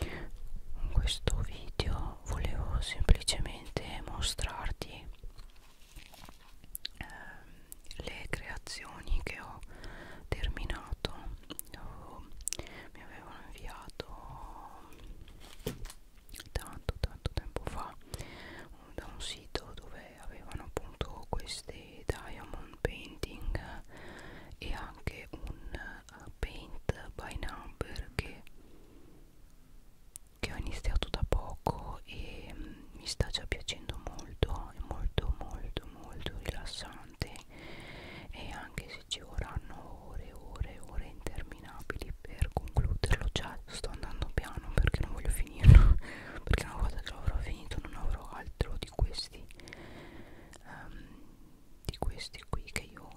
in questo video volevo semplicemente mostrarti eh, le creazioni che ho terminato oh, mi avevano inviato tanto tanto tempo fa da un sito dove eh, avevano appunto queste diamond painting e anche un uh, paint by number che, che ho iniziato da poco e um, mi sta già piacendo molto è molto molto molto rilassante e anche se ci vorranno ore ore ore interminabili per concluderlo già sto andando piano perché non voglio finirlo perché una volta che l'avrò finito non avrò altro di questo questi um, di questi qui che io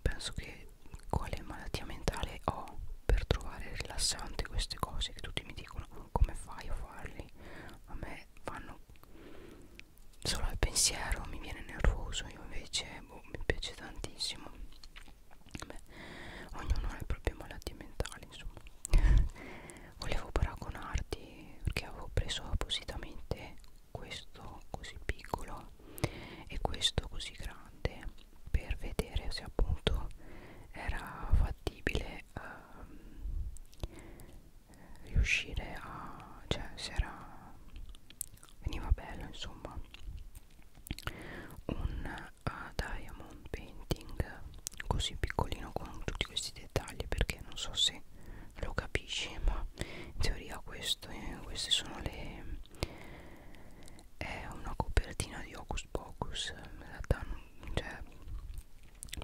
penso che quale malattia mentale ho per trovare rilassante queste cose che tutti mi dicono come fai a farli a me fanno solo al pensiero mi viene nervoso io invece boh, mi piace tantissimo Beh, ognuno ha le proprie malattie mentali insomma volevo paragonarti perché avevo preso appositamente questo così piccolo e questo così grande per vedere se appunto era fattibile uh, riuscire a cioè se era veniva bello insomma un uh, diamond painting così piccolino con tutti questi dettagli dettagli perché non so se lo capisci ma in teoria questo, eh, queste sono le è una copertina di Hocus Pocus in realtà non, cioè,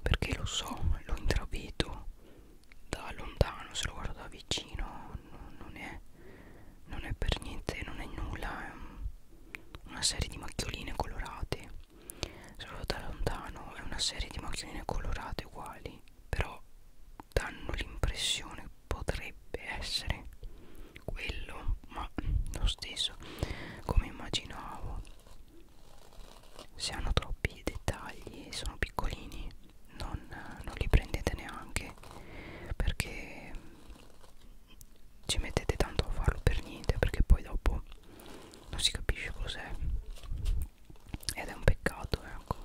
perché lo so lo intravedo da lontano se lo guardo da vicino no, non è non è per niente non è nulla è un, una serie di macchioline colorate solo da lontano è una serie di macchinine colorate uguali però danno l'impressione potrebbe essere quello ma lo stesso come immaginavo se hanno troppi dettagli e sono piccolini non, non li prendete neanche perché ci mettete tanto a farlo per niente perché poi dopo non si capisce cos'è ed è un peccato ecco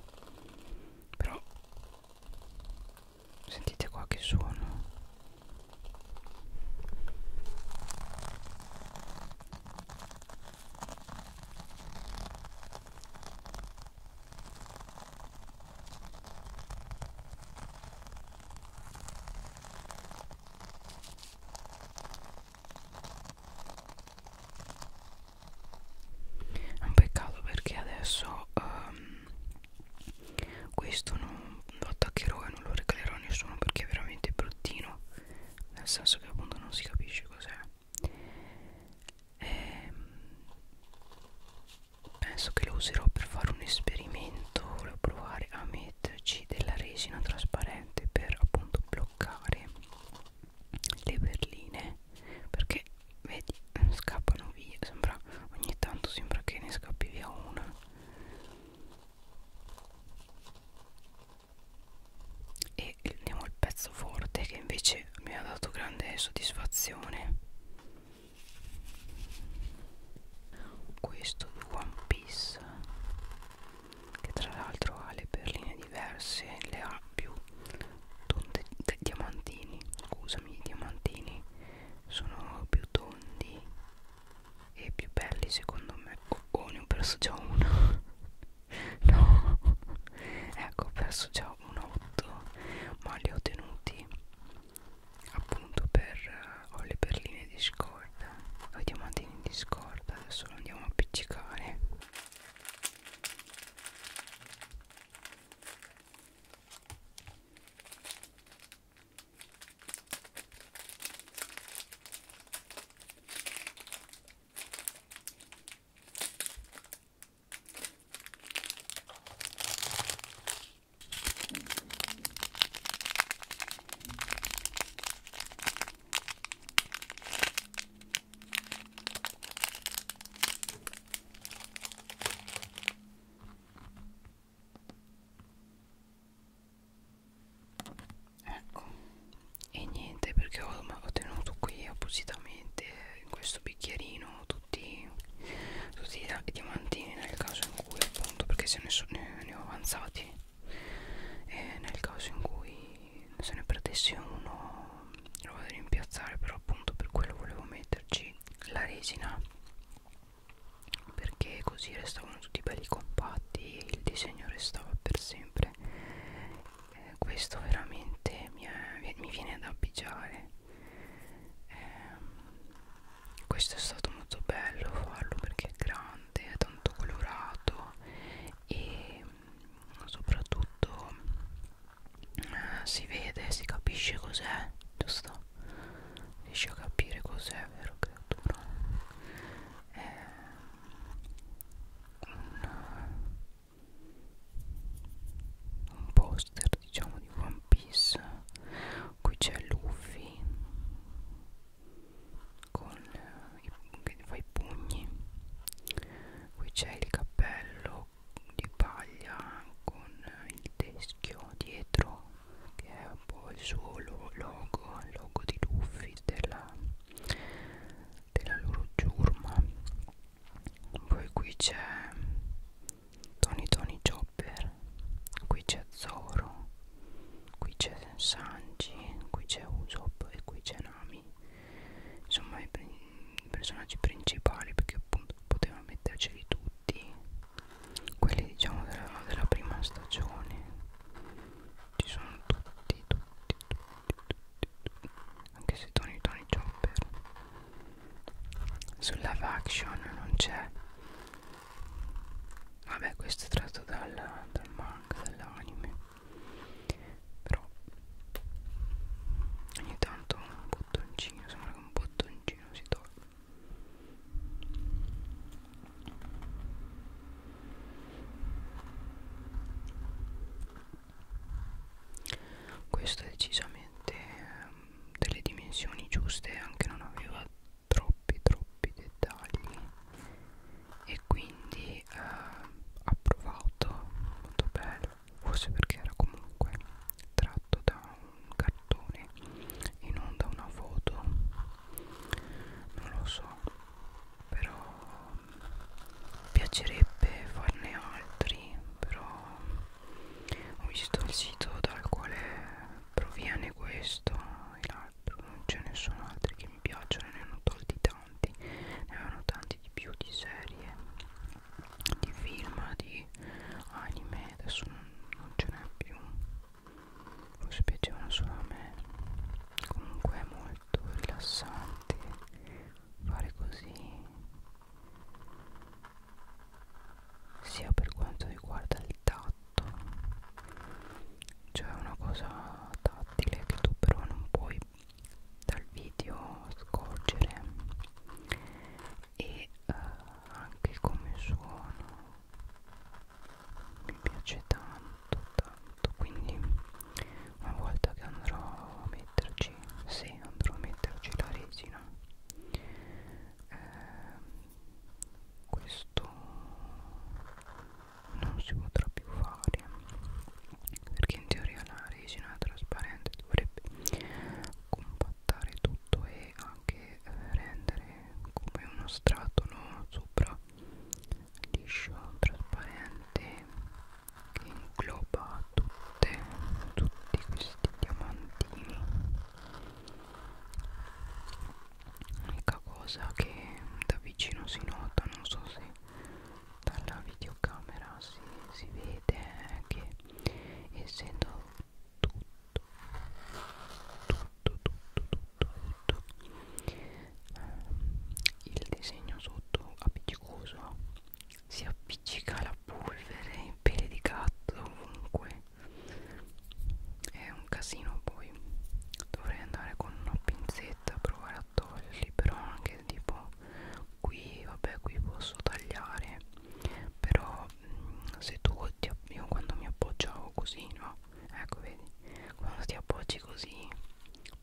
però sentite qua che suono è un peccato perché adesso um, questo non lo attaccherò e non lo regalerò a nessuno perché è veramente bruttino. Nel senso che appunto non si capisce cos'è. E ehm, penso che lo userò per fare un esperimento. Volevo provare a mettere metterci della resina trasparente per appunto bloccare le berline perché vedi scappano via sembra ogni tanto sembra che ne scappi via una e andiamo al pezzo forte che invece mi ha dato grande soddisfazione questo di One Piece che tra l'altro ha le perline diverse le ha più tonde, diamantini scusami i diamantini sono più tondi e più belli secondo me oh, oh ne ho perso già uno no ecco ho perso già un 8 ma li ho tenuti appunto per uh, ho le perline di scopo discord Ho i diamantini in discord Adesso lo andiamo a appiccicare ecco e niente perché ho, ho tenuto qui appositamente in questo bicchierino tutti, tutti i diamantini nel caso in cui appunto perché se ne, so, ne, ne ho avanzati e nel caso in cui se ne perdessi uno lo vado a rimpiazzare però appunto per quello volevo metterci la resina perché così restavano tutti belli compatti il disegno restava per sempre eh, questo veramente mi, è, mi viene da pigiare eh, questo è stato molto bello farlo perché è grande elegante, è tanto colorato e mm, soprattutto eh, si vede, si capisce cos'è, giusto? Riesci a capire cos'è, vero creatura? È un, un poster diciamo di One Piece qui c'è Luffy con eh, che fa i pugni qui c'è il cappello di paglia con il teschio dietro che è un po' il suo logo il logo di Luffy della, della loro giurma poi qui c'è Tony Tony Chopper qui c'è Zoro qui c'è Sanji, qui c'è Usopp e qui c'è Nami insomma i, i personaggi principali perché appunto poteva metterceli tutti quelli diciamo della, della prima stagione ci sono tutti tutti tutti tutti anche se Tony Tony Chopper sulla action non c'è vabbè questo è tratto dal, dal manga dall'anime però ogni tanto un bottoncino sembra che un bottoncino si toglie questo è decisamente ehm, delle dimensioni giuste anche non aveva troppi troppi dettagli e quindi eh, approvato molto bello forse perché era comunque tratto da un cartone e non da una foto non lo so però piacerebbe farne altri però ho visto il sito dal quale proviene questo e la app non ce ne sono altri che mi piacciono ne hanno tolti tanti ne avevano tanti di più di serie di film di anime adesso non, non ce n'è più forse piacevano solo a me comunque è molto rilassante fare così sia per quanto riguarda il tatto fatto cioè una cosa tattile che tu però non puoi dal video scorgere e eh, anche come suono mi piace tanto tanto quindi una volta che andrò a metterci se andrò a metterci la resina eh, questo non si potrà più fare perché in teoria la resina trasparente dovrebbe compattare tutto e anche eh, rendere come uno strato no? sopra liscio trasparente che ingloba tutte, tutti questi diamantini l'unica cosa che da vicino si nota non so se dalla videocamera si, si vede è che essendo tutto tutto tutto tutto tutto ehm, il disegno sotto appiccicoso si appiccica la polvere in pelle di gatto ovunque è un casino poi dovrei andare con una pinzetta a provare a toglierli però anche tipo qui vabbè qui posso tagliare però mh, mm, se tu ti, io quando mi appoggiavo così no ecco vedi quando ti appoggi così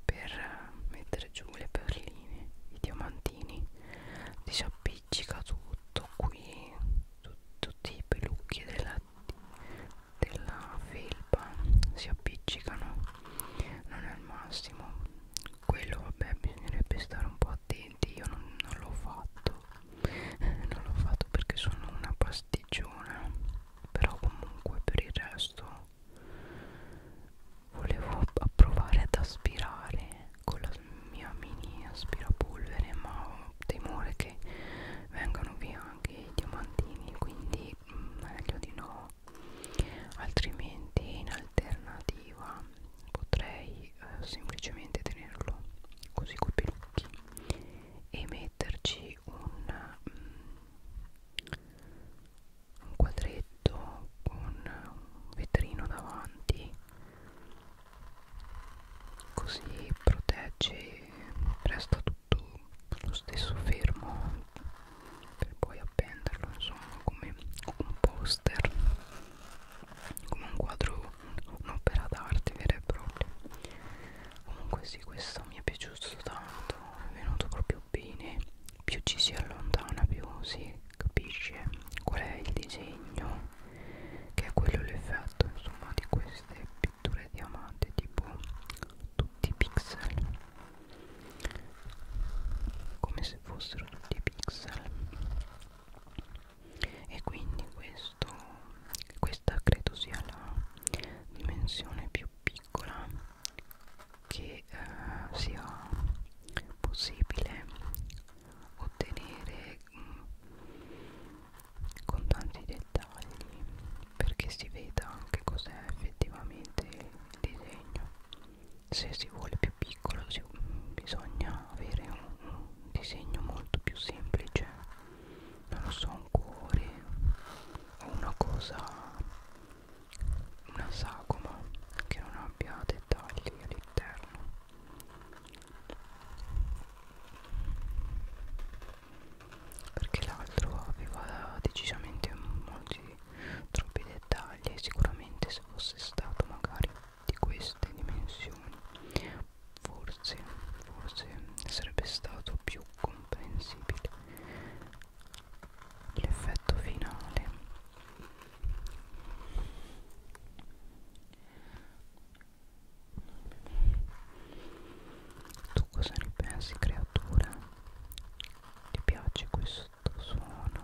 per eh, mettere giù le perline i diamantini ti si appiccica tutto qui tu, tutti i pelucchi della insetti della felpa si appiccicano non è il massimo quello vabbè bisognerebbe stare un po' attenti io non, non l'ho fatto eh, non l'ho fatto perché sono una pasticciona però comunque per il resto volevo provare ad aspirare con la mia mini aspirapolvere ma ho temore che vengano via anche i diamantini quindi mm, meglio di no altrimenti in alternativa potrei eh, semplicemente tenerlo così coi pelucchi e metterci un, mm, un quadretto con un vetrino davanti così protegge resta tutto lo stesso fermo per poi appenderlo insomma come un poster come un quadro un'opera d'arte vera e propria comunque sì questo mi è piaciuto tanto è venuto proprio bene più ci si allontana più si capisce qual è il disegno che è quello l'effetto insomma di queste pitture diamante tipo tutti i pixel come se fossero tutti i pixel e quindi questo questa credo sia la dimensione più piccola che eh, sia possibile ottenere mh, mm, con tanti dettagli perché si veda anche cos'è effettivamente il disegno se si vuole più piccolo si, bisogna avere un, un disegno molto più semplice non lo so un cuore o una cosa una sagoma che non abbia dettagli all'interno perché l'altro aveva decisamente molti troppi dettagli e sicuramente se fosse stato magari di queste dimensioni forse forse sarebbe stato più comprensibile l'effetto finale tu cosa ne pensi creatura? Ti piace questo suono?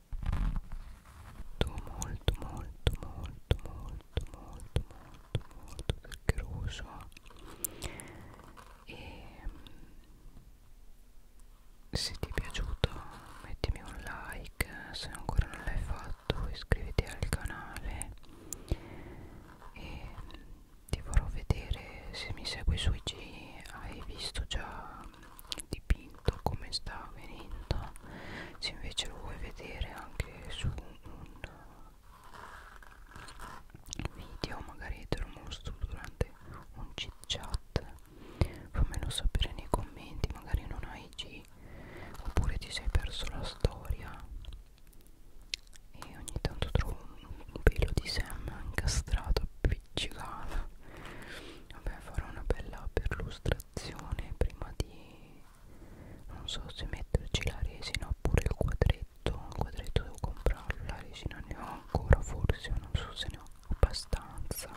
molto molto molto molto molto molto molto zuccheroso e mm, se ti è piaciuto mettimi un like se ancora non l'hai fatto iscriviti al canale e mm, ti farò vedere se mi segui sui G hai visto già dipinto come sta avvenendo se invece lo vuoi vedere anche su un video magari te lo mostro durante un chit chat fammelo sapere nei commenti magari non hai G oppure ti sei perso la storia e ogni tanto trovo un, un pelo di Sam incastrato appiccicato vabbè farò una bella perlustrazione prima di non so se metterci la resina oppure il quadretto il quadretto devo comprarlo la resina ne ho ancora forse non so se ne ho abbastanza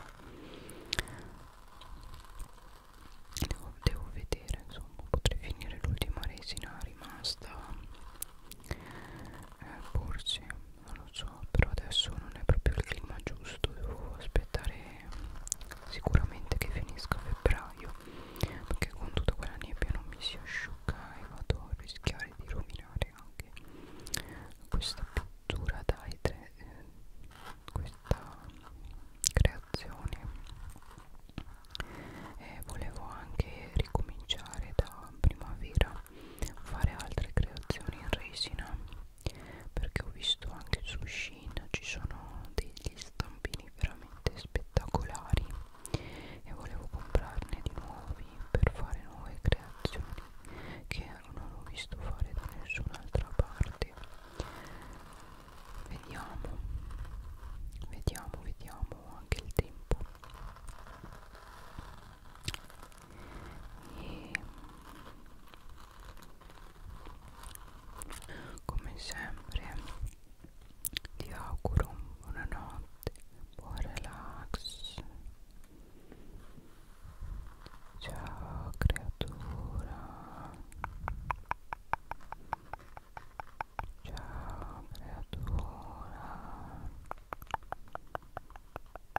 devo, devo vedere insomma potrei finire l'ultima resina rimasta eh, forse non lo so però adesso non è proprio il clima giusto devo aspettare sicuramente che finisca febbraio perché con tutta quella nebbia non mi si asciuga e vado a rischiare di rovinare anche questa pittura da etre eh, questa creazione e volevo anche ricominciare da primavera fare altre creazioni in resina perché ho visto anche su Shein ci sono degli stampini veramente spettacolari e volevo comprarne di nuovi per fare nuove creazioni che non ho visto fare da nessun'altra parte vediamo vediamo vediamo anche il tempo e come sempre ti auguro buonanotte buon relax ciao creatura ciao creatura